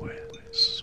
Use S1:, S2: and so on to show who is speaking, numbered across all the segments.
S1: Wandering Whispers.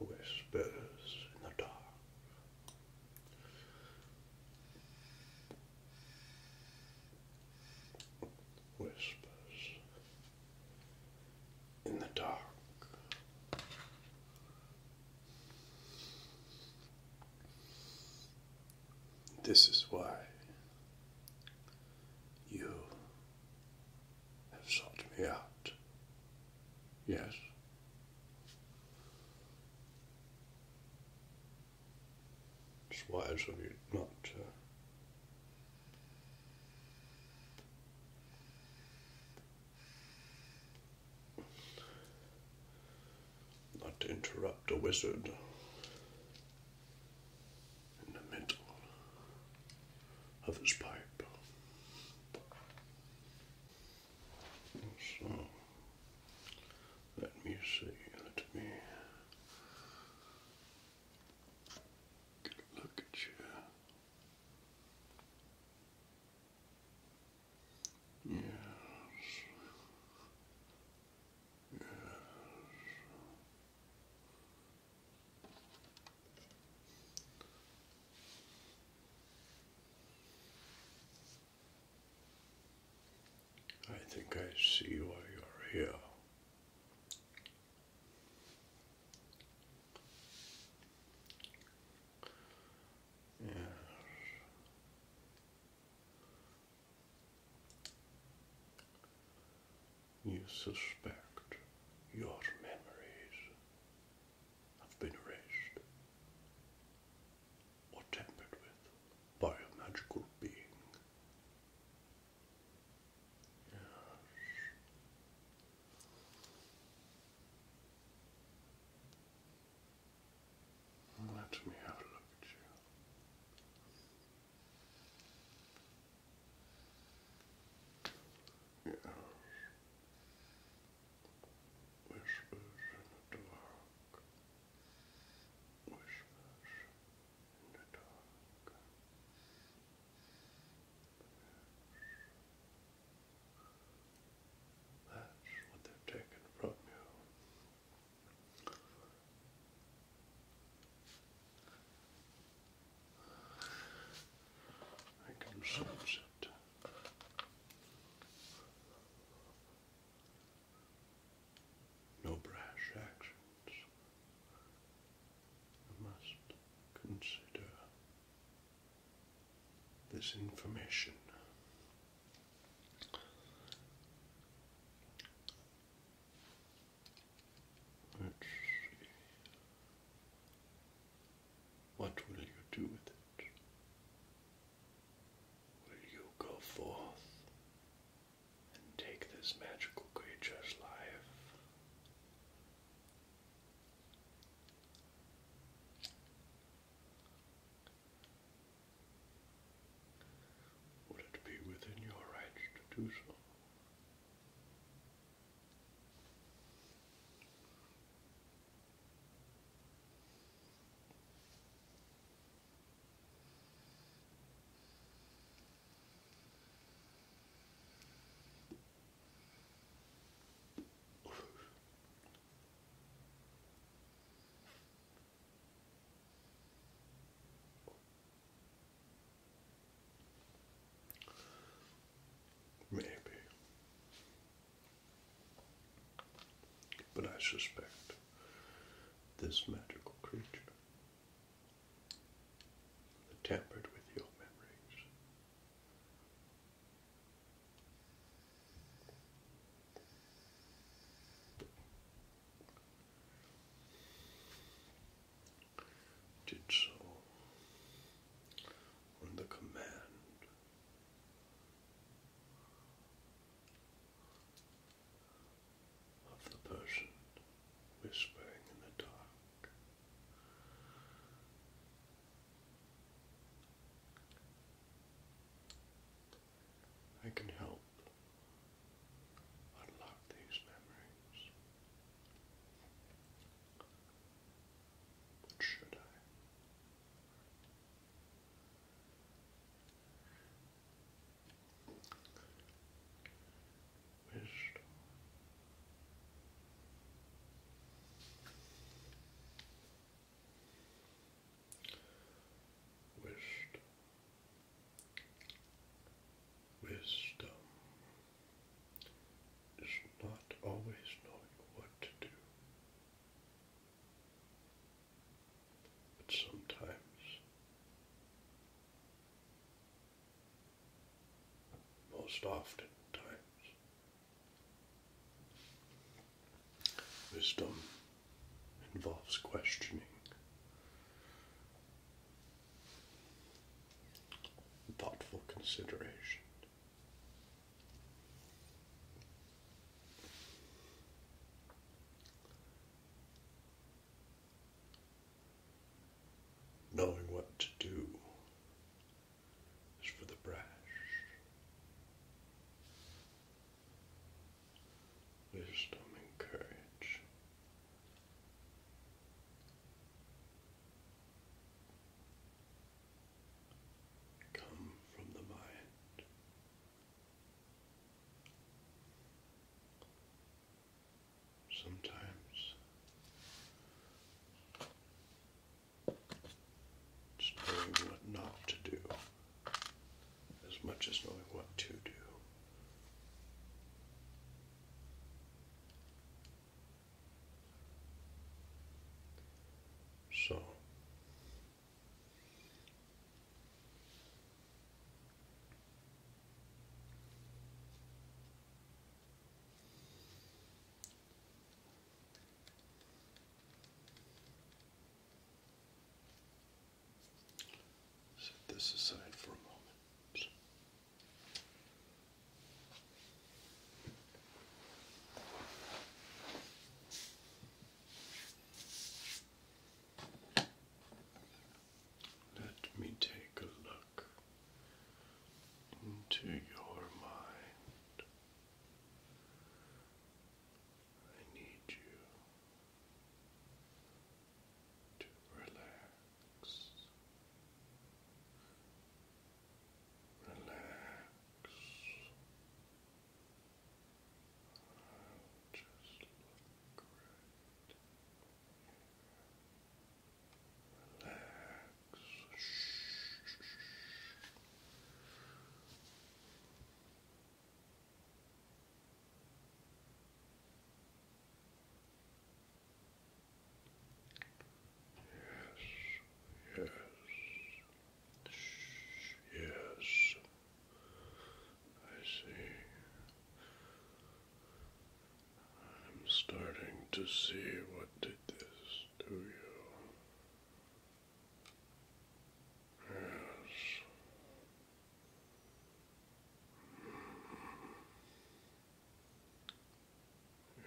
S1: Whispers in the dark. Whispers in the dark. This is why you have sought me out. Yes. It's wise of you not not to interrupt a wizard in the middle of his pipe. So, let me see, let me look at you. Yes. Yes. I think I see why you're here. You suspect your memories have been erased or tampered with by a magical being. Yes. Let me have a look at you. Yes. Whispers in the dark. Whispers in the dark. That's what they've taken from you. I can sense it. No brash actions. You must consider this information. What will you do with it? Will you go forth and take this magical creature's life would it be within your rights to do so? Maybe. But I suspect this magical creature that tampered with your memories did so on the command of the person whispering in the dark. I can help unlock these memories. should I? Wisdom Wisdom. is not always knowing what to do, but sometimes most often times. Wisdom involves questioning. Thoughtful consideration. Knowing what to do is for the brash. Wisdom and courage. Come from the mind sometimes knowing what not to do as much as knowing what to do. So Set this aside for a moment. Let me take a look into your mind. I need you to relax. Relax. I'll just look right Relax. Yes, yes, yes, I see. I'm starting to see what did this do to you. Yes. Yes.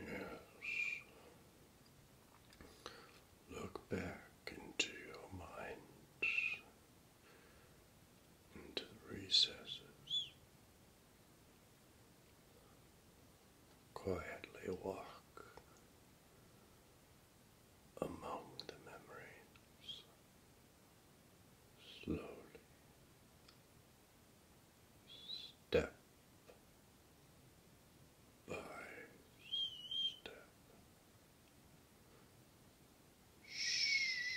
S1: Yes. Look back into your mind, into the recesses quietly walk among the memories slowly. Step by step. Shh. Shh.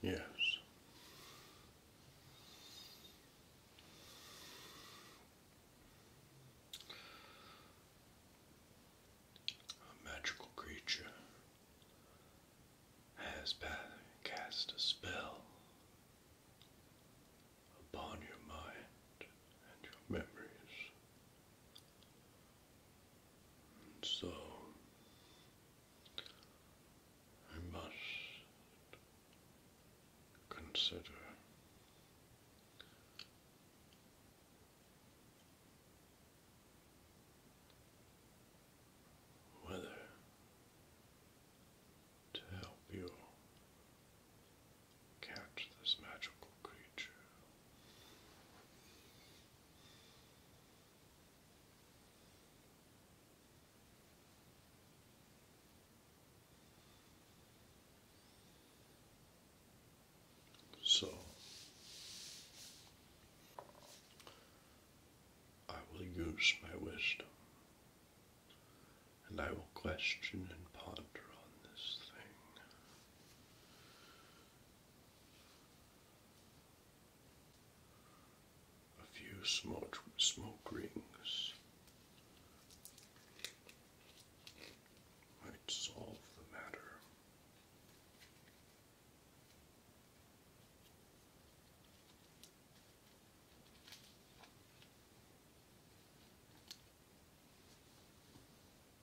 S1: Yes. A magical creature has cast a spell upon your mind and your memories. So I must consider whether to help you catch this magical creature so I will use my wisdom and I will question and ponder on this thing a few smoke, smoke rings might solve the matter.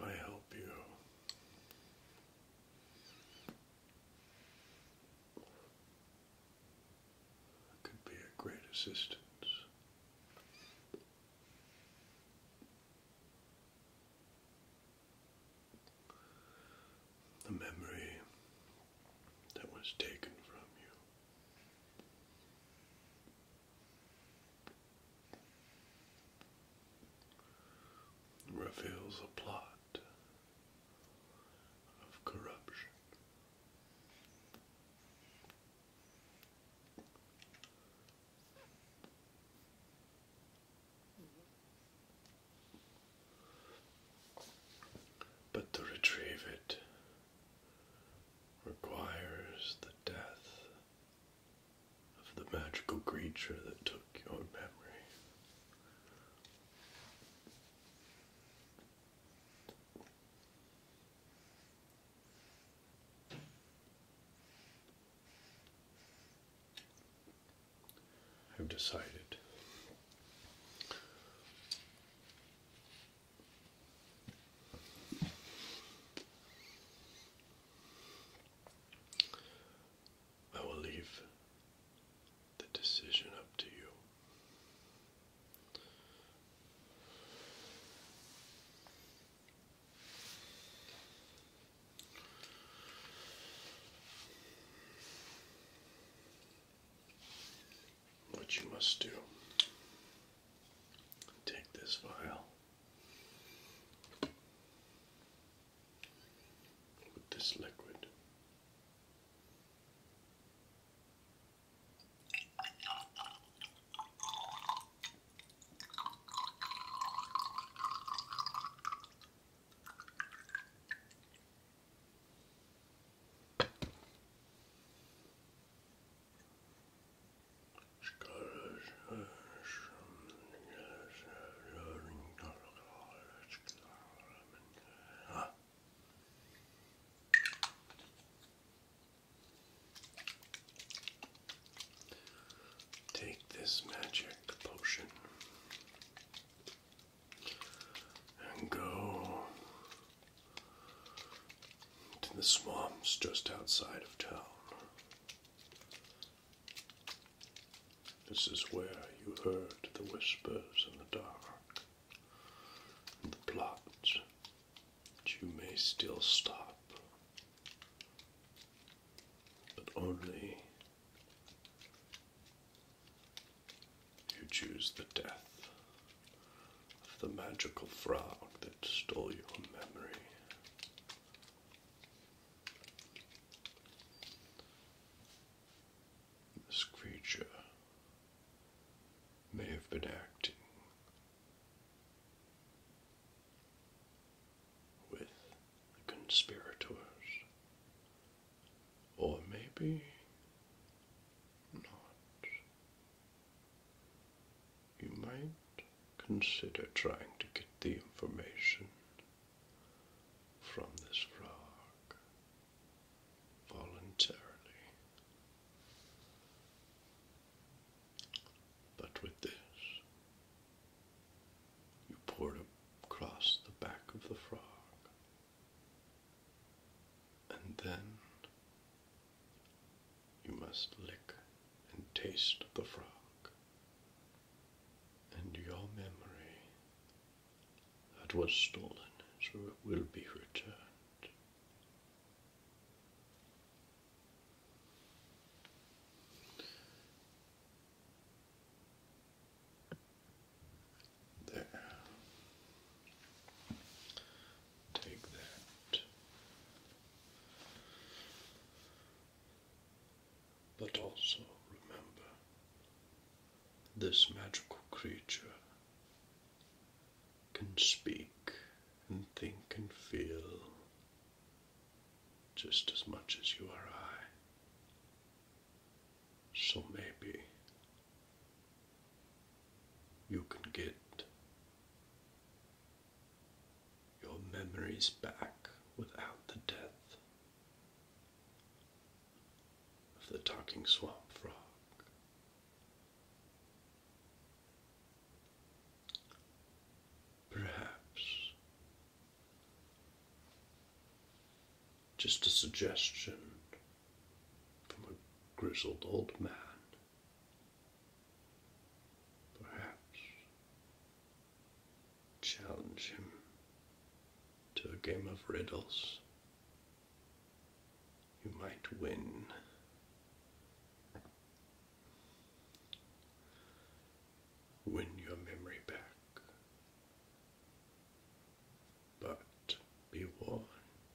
S1: If I help you, could be a great assistance. The memory that was taken from you. Reveals a plot of corruption. But to retrieve it requires the death of the magical creature that took your memory. I've decided I will leave the decision up to you what you must do take this vial with this liquid Take this magic potion and go to the swamps just outside of town. This is where you heard the whispers in the dark, and the plot. you may still stop, but only you choose the death of the magical frog that stole your memory. This creature may have been acting with the conspirators, or maybe not. You might consider trying to get the information from this frog voluntarily. But with this, you poured across the back of the frog and then you must lick and taste the frog. And your memory that was stolen so it will be returned. There. Take that. But also remember this magical creature can speak and think and feel just as much as you or I. So maybe you can get your memories back without the death of the talking swamp frog. Perhaps just a suggestion from a grizzled old man. Perhaps challenge him to a game of riddles. You might win. Win your memory back. But be warned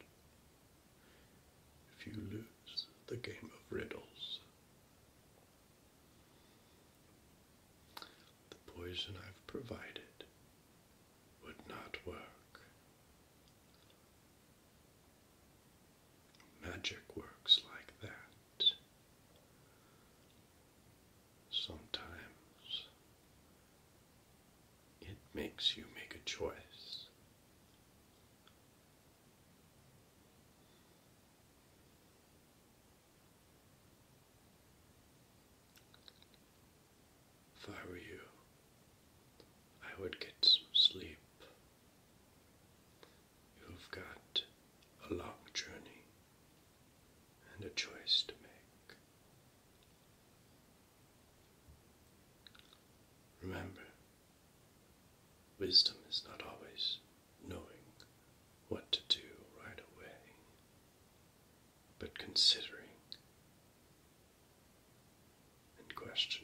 S1: if you lose the game of riddles, the poison I've provided would not work. Magic works like that. Sometimes it makes you make a choice. If I were you, I would get some sleep. You've got a long journey and a choice to make. Remember, wisdom is not always knowing what to do right away, but considering and questioning.